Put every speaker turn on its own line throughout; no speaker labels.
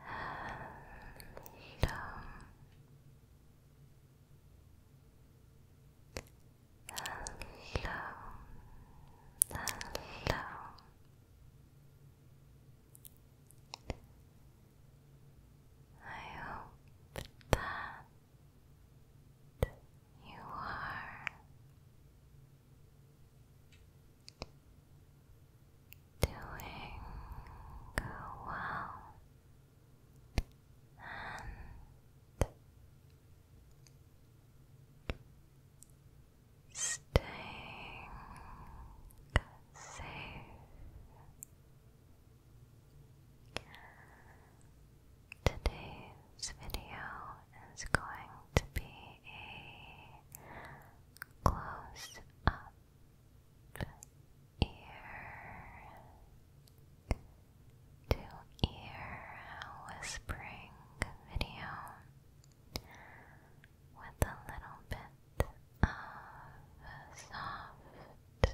hello. I hope that you are doing well and staying safe. Today's video it's going to be a close up ear to ear whispering video with a little bit of soft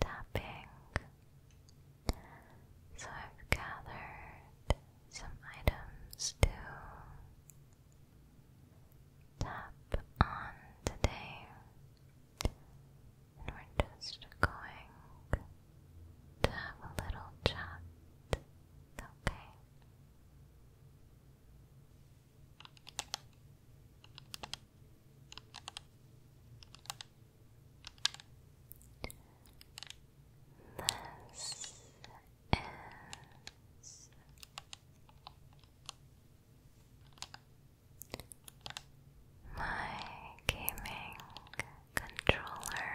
tapping. So I've gathered some items to tap on today, and we're just going to have a little chat, okay? This is my gaming controller.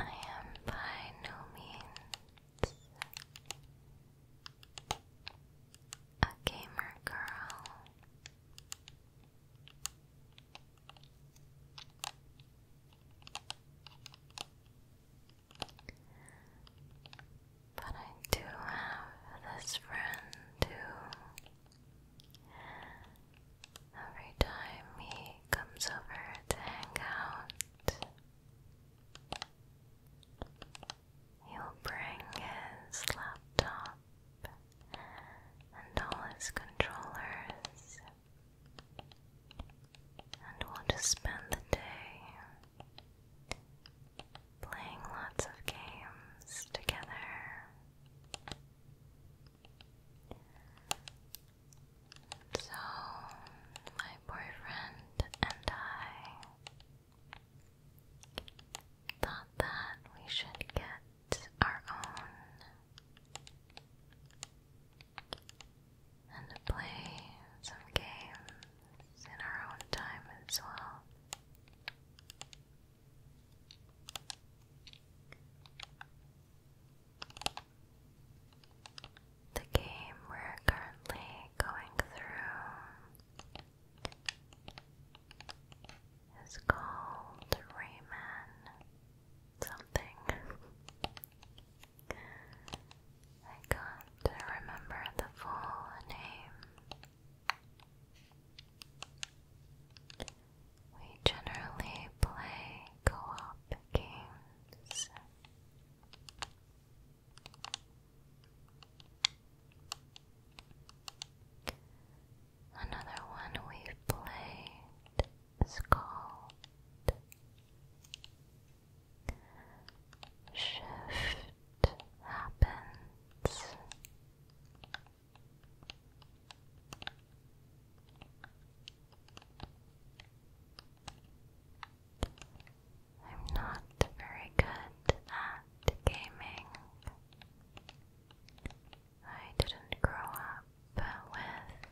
I am by no means a gamer girl. But I do have this friend who, every time he comes over to hang out, He'll bring his laptop and all his controllers, and we'll just spend the day playing lots of games together. So, my boyfriend and I thought that we should get our own and play some games in our own time as well. The game we're currently going through is called Rayman something. I can't remember the full name. We generally play co-op games Another one we played is called Shift Happens. I'm not very good at gaming. I didn't grow up with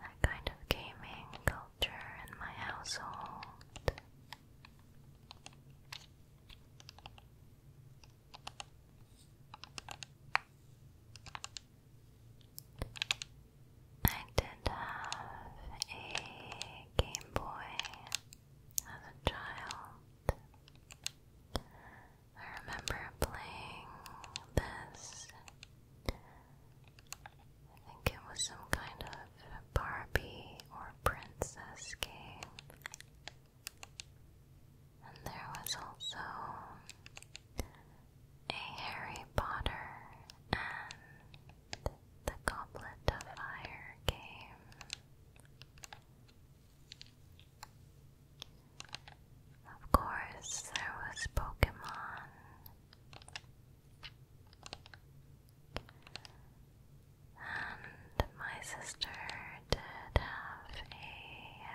that kind of gaming culture in my household. I did have a Game Boy as a child. I remember playing this. I think it was some kind of Barbie or princess game. And there was also a Harry Potter and the Goblet of Fire game. Of course, there was Pokemon. And my sister did have a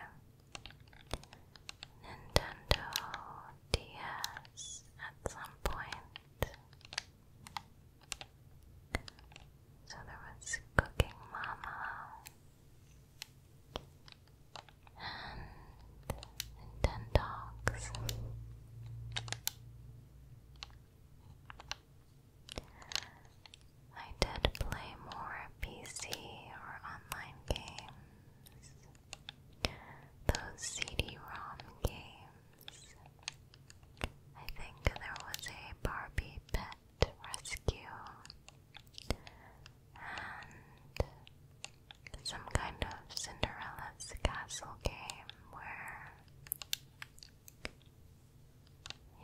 Nintendo DS at some point. So there was Cooking Mama and Nintendogs. I did play more PC or online games those CD-ROM games. I think there was a Barbie pet rescue and some kind of Cinderella's castle game where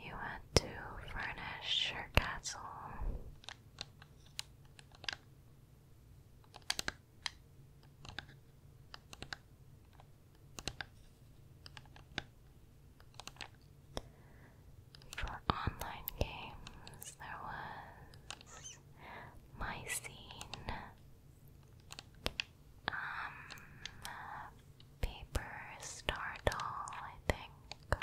you had to furnish your castle. For online games, there was My Scene, um, Paper Star Doll, I think,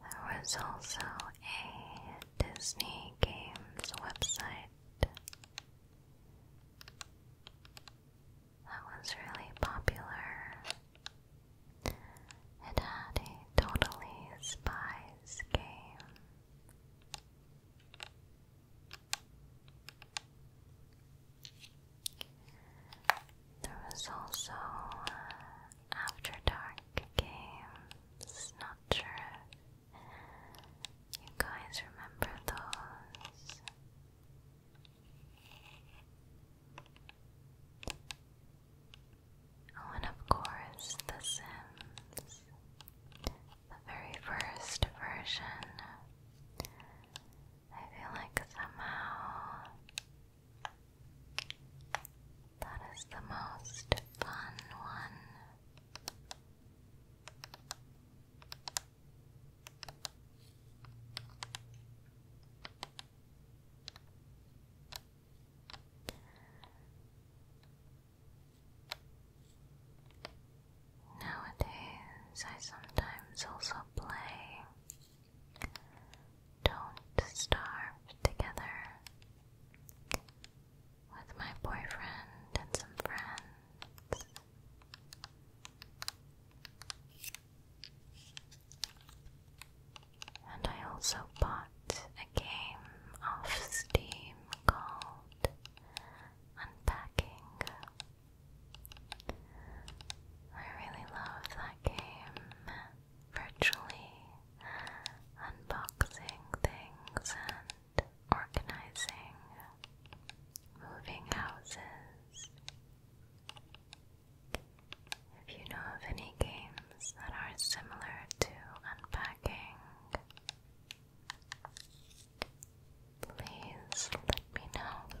there was also a Disney Games website that was really popular. It had a totally spies game. There was also uh, After Dark games, not sure if you guys remember those. Oh, and of course, The Sims, the very first version. I feel like somehow that is the most fun one. Nowadays, I sometimes also play don't starve together with my boyfriend and some friends. And I also bought a game off Steam called Unpacking. I really love that game virtually unboxing things and organizing, moving houses. If you know of any games that are similar to unpacking, please let me know.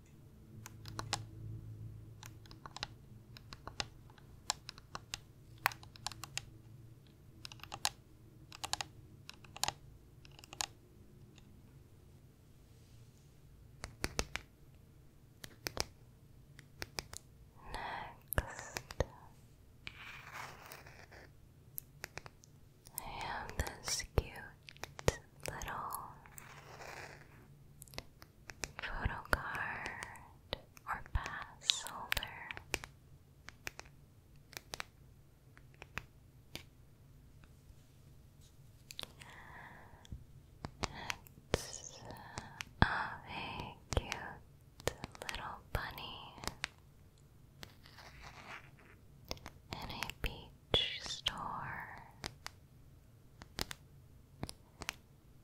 Next, I have this cute little photo card or pass holder. It's uh, a cute little bunny in a beach store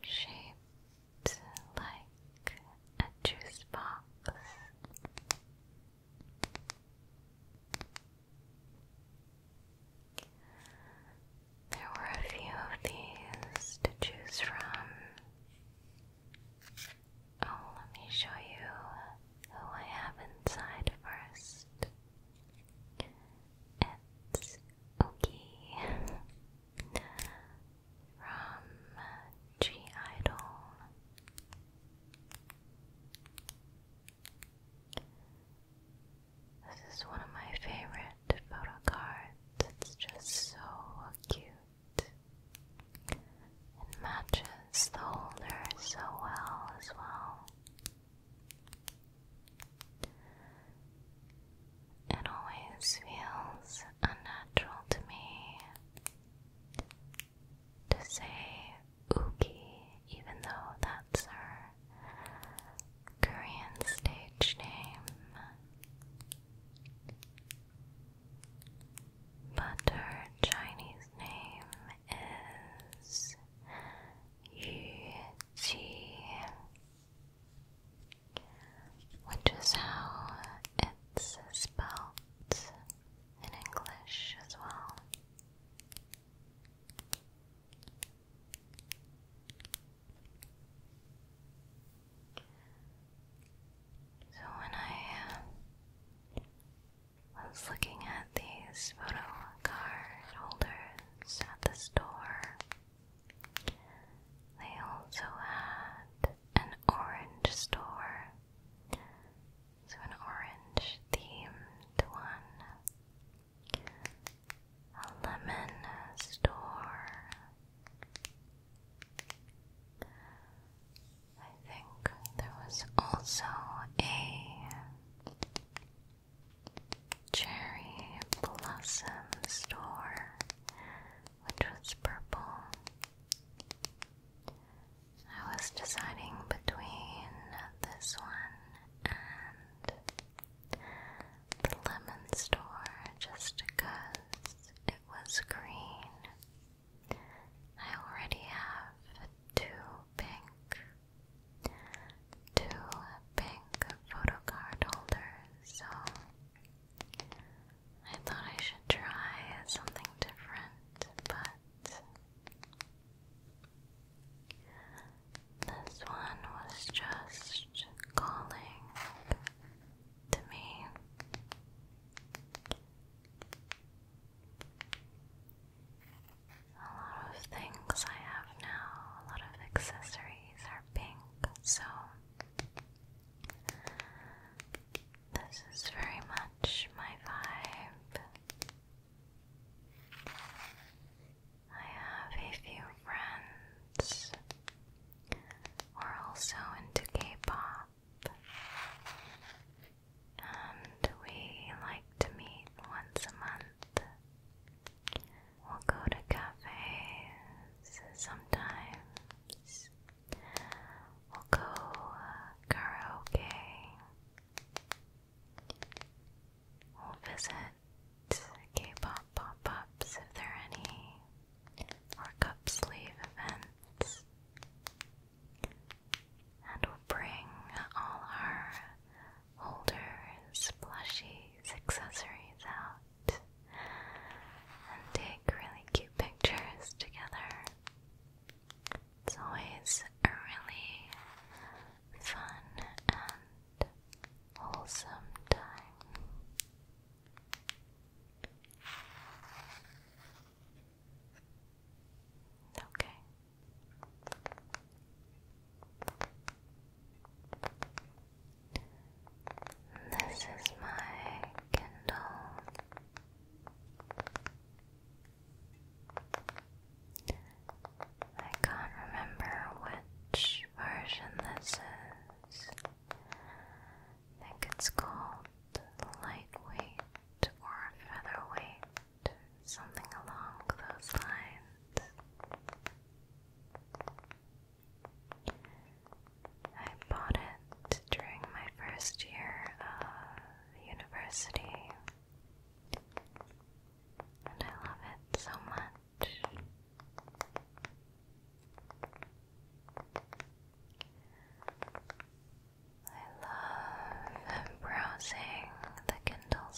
shaped like a juice box. There were a few of these to choose from. Oh, let me show you who I have inside first. It's Ookie from G Idol. This is one of my favorite photo cards. It's just so cute. It matches the holder so well as well. It always feels unnatural to me to say Uki, even though that's her Korean stage name. But her Chinese name is Yu G, which is how it's spelled in English as well. So when I uh, was looking at these photo card holders, is at the store. They also had an orange store, so an orange themed one, a lemon store. I think there was also a Cherry Blossom store, which was purple. I was deciding between this one and the lemon store just it was green. I already have two pink two pink photo card holders, so I thought I should try something different, but this one was just calling to me. A lot of things I have now, a lot of accessories are pink, so this is very much my vibe. I have a few friends who are also into K-pop. And we like to meet once a month. We'll go to cafes sometimes. We'll go uh, karaoke. We'll visit K-pop pop-ups if there are any, or cup sleeve events and we will bring all our holders, plushies, accessories out and take really cute pictures together. It's always a really fun and wholesome time. Okay, this is my Kindle. I can't remember which version this is. I think it's called lightweight or featherweight something along those lines. I bought it during my first year of university, and I love it so much. I love browsing the Kindle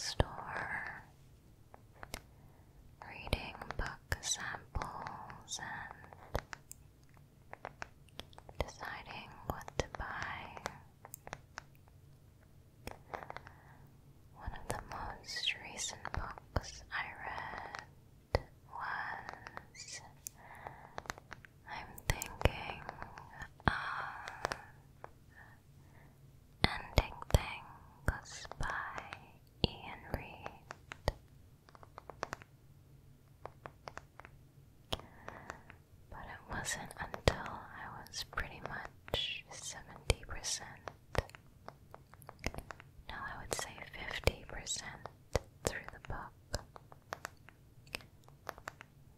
reading book samples, and deciding what to buy. One of the most recent books I read was I'm thinking of uh, Ending Thing was by Ian Reid. But it wasn't until I was pretty much 70%, no, I would say 50% through the book,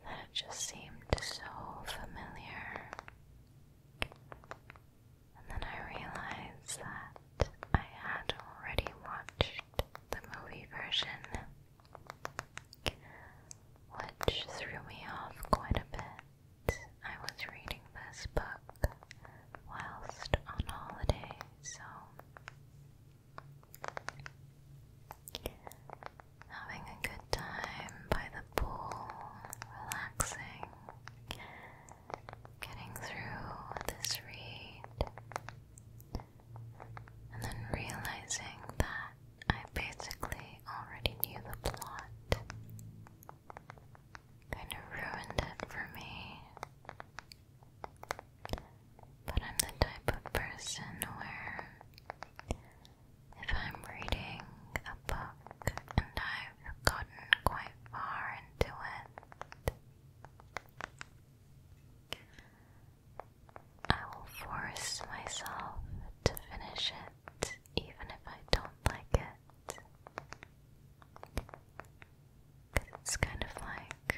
that it just seemed so familiar. And then I realized that I had already watched the movie version, which threw me off quite a bit. I was reading this book whilst on holiday, so having a good time by the pool, relaxing, getting through this read, and then realizing that I basically already knew the plot. Kind of ruined it for me. But I'm the type of person where if I'm reading a book and I've gotten quite far into it, I will force myself to finish it even if I don't like it. it's kind of like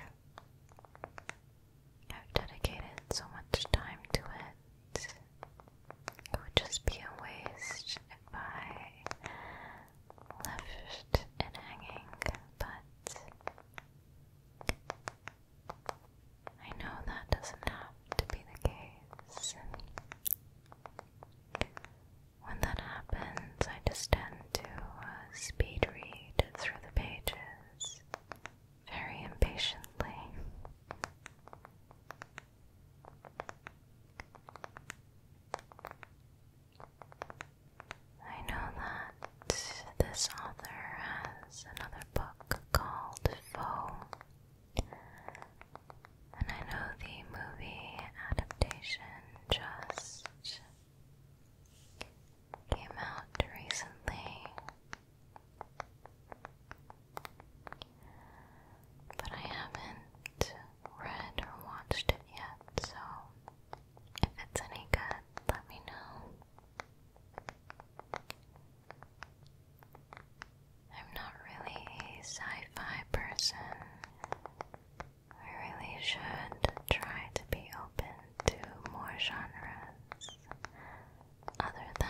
I've dedicated so much time to it. It would just be a waste if I left it hanging, but I know that doesn't have to be the case. When that happens, I just tend to uh, speed read through the pages very impatiently. I know that this author has another book called Foe, and I know the movie adaptation just came out recently. But I haven't read or watched it yet, so if it's any good, let me know. I'm not really a sci fi person. I really should try to be open to more genres other than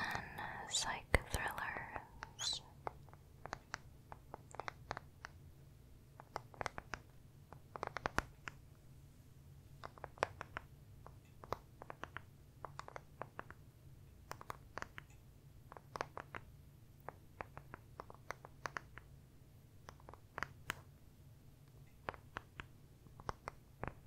psych thrillers.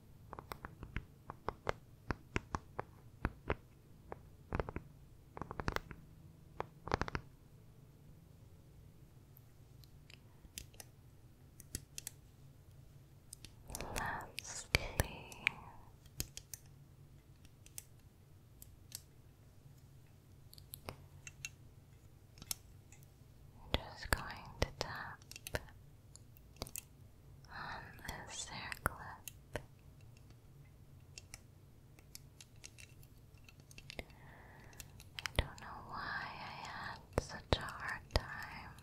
Lastly, i just going to tap on this hair I don't know why I had such a hard time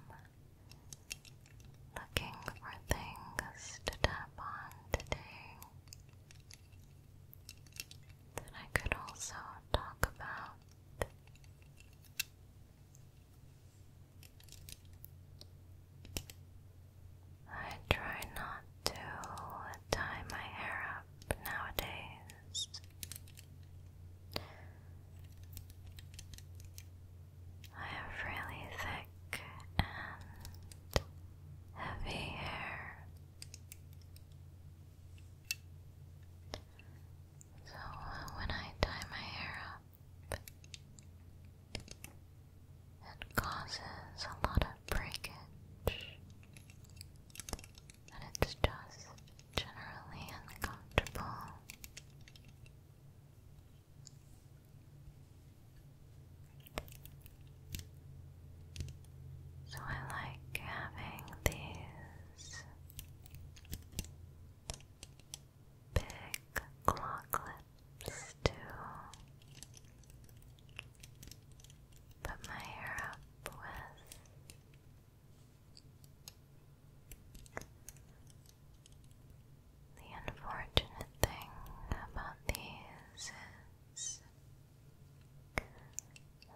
looking for things to tap on today that I could also talk about. I try not to tie my hair up nowadays. I have really thick and heavy hair. So when I tie my hair up, it causes a lot of breakage, and it's just generally uncomfortable. So I like having these big claw clips too. Put my hair up with the unfortunate thing about these is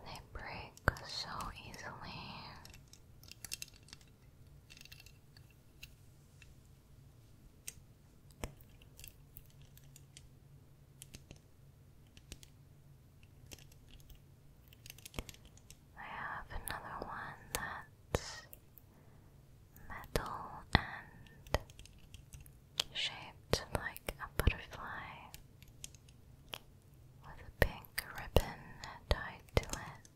they break so easily. I have another one that's metal and shaped like a butterfly with a pink ribbon tied to it.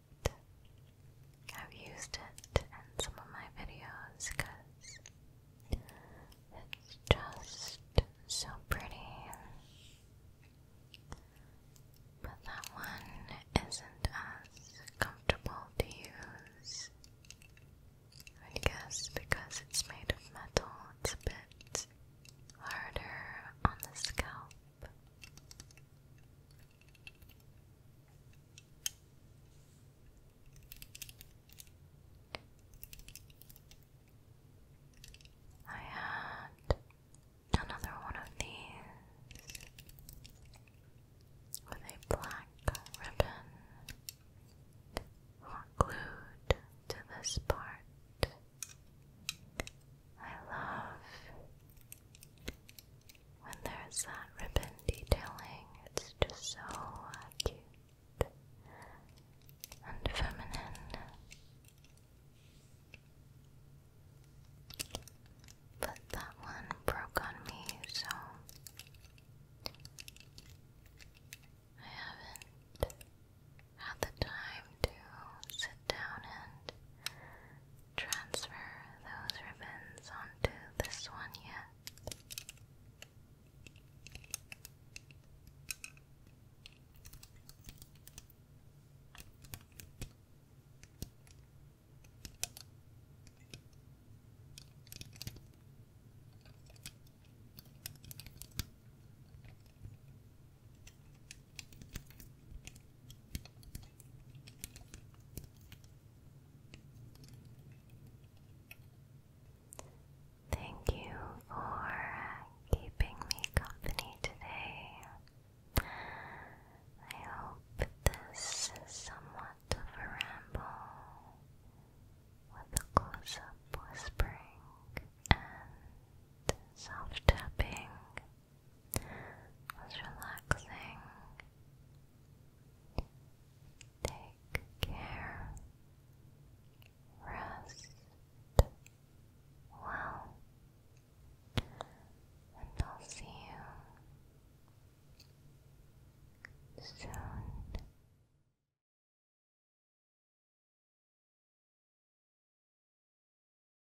I've used it in some of my videos because it's just so pretty. But that one isn't as comfortable to use. I guess because it's made of metal, it's a bit harder on the scalp. I had another one of these with a black ribbon hot glued to this part. I love when there's that ribbon detailing, it's just so uh, cute and feminine. But that one broke on me, so I haven't had the time to sit down and transfer those ribbons onto this one yet. Thank you for keeping me company today. I hope this is somewhat of a ramble with a close up whispering and soft tapping was relaxing. Take care. Rest well. And I'll see you soon.